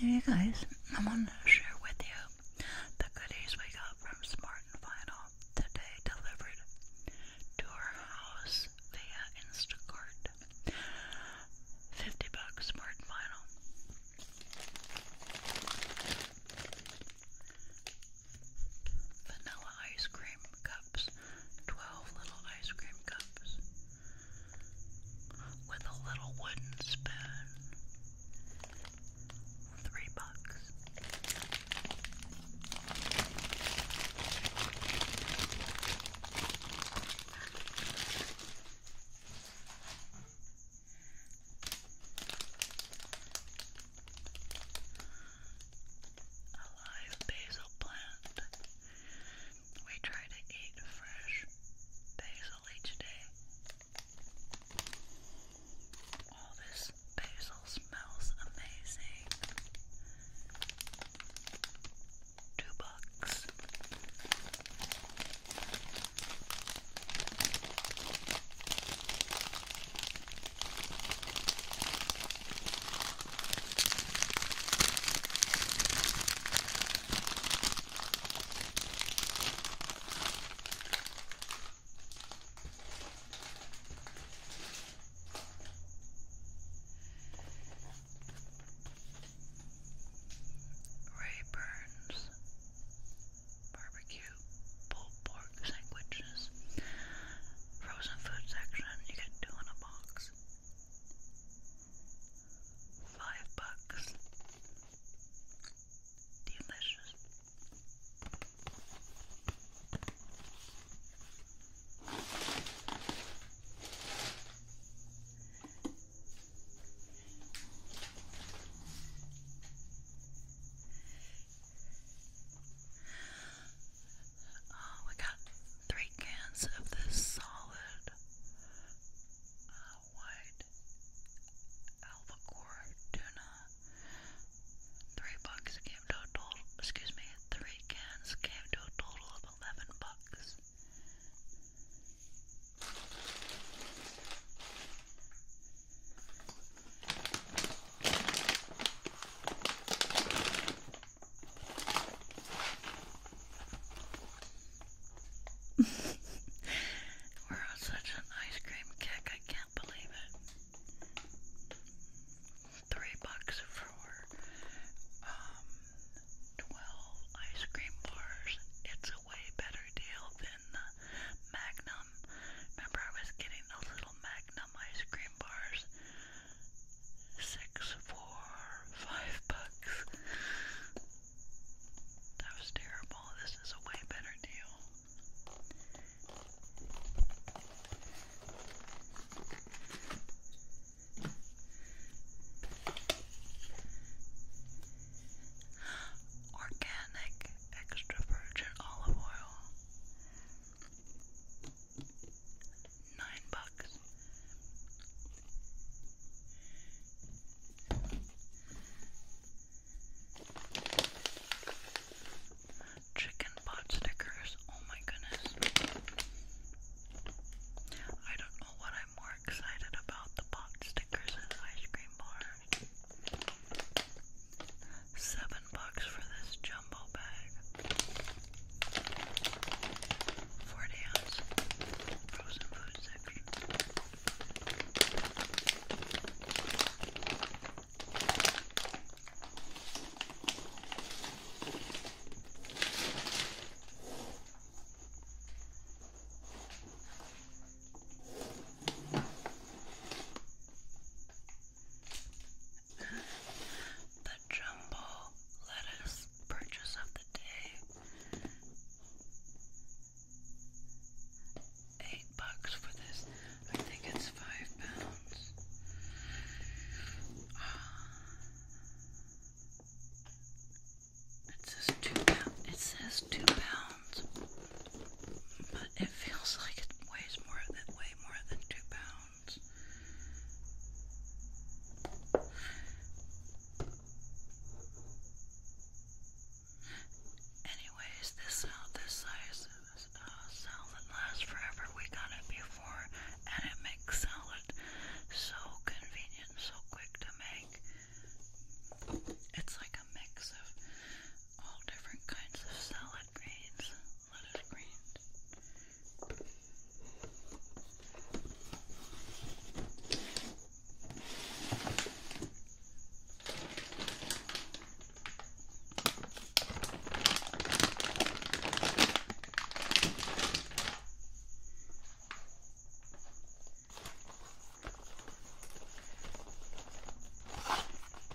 Hey guys, I wanted to share with you the goodies we got from Smart and Final today delivered to our house via Instacart. 50 bucks Smart and Final. Vanilla ice cream cups twelve little ice cream cups with a little wooden spoon. Three bucks a live basil plant. We try to eat fresh basil each day. All this basil smells amazing. Two bucks. Ray Burns Barbecue Pulled Pork Sandwiches Frozen food section, you get two in a box. Five bucks. Delicious we oh, got three cans of this solid uh, white albacore tuna. Three bucks came to a total. Excuse me, three cans came to a total of eleven bucks. We're on such an ice cream kick, I can't believe it. Three bucks for um, 12 ice cream bars. It's a way better deal than the Magnum. Remember, I was getting those little Magnum ice cream bars. Six, four, five bucks. That was terrible. This is a way better deal. Organic extra virgin olive oil nine bucks. Chicken pot stickers. Oh my goodness. I don't know what I'm more excited about the pot stickers and ice cream bar. Seven bucks for this jumbo bag. Forty ounce frozen food section. The jumbo lettuce purchase of the day. Eight bucks for this. I think it's five pounds. It says two pounds. It says two pounds but it feels like it weighs more than way more than two pounds. Anyways, this uh, this size uh, salad lasts forever. We got it before, and it makes salad so convenient, so quick to make. It's like a mix of all different kinds of salad on grains, lettuce grains. All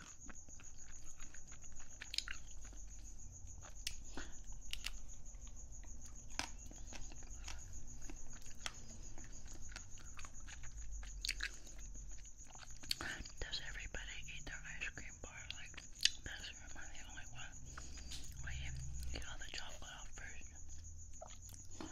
Does everybody eat their ice cream bar like this? Or am the only one? Well, get all the chocolate off first.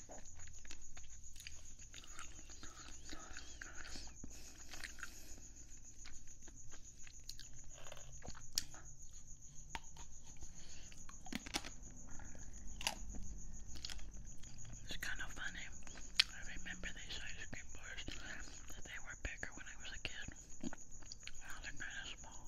It's kind of funny. I remember these ice cream bars they were bigger when I was a kid. Now they're kind of small.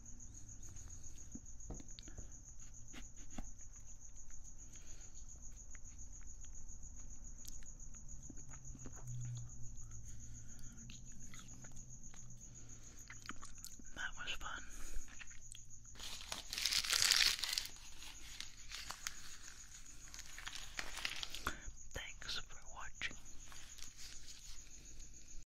That was fun. Thanks for watching.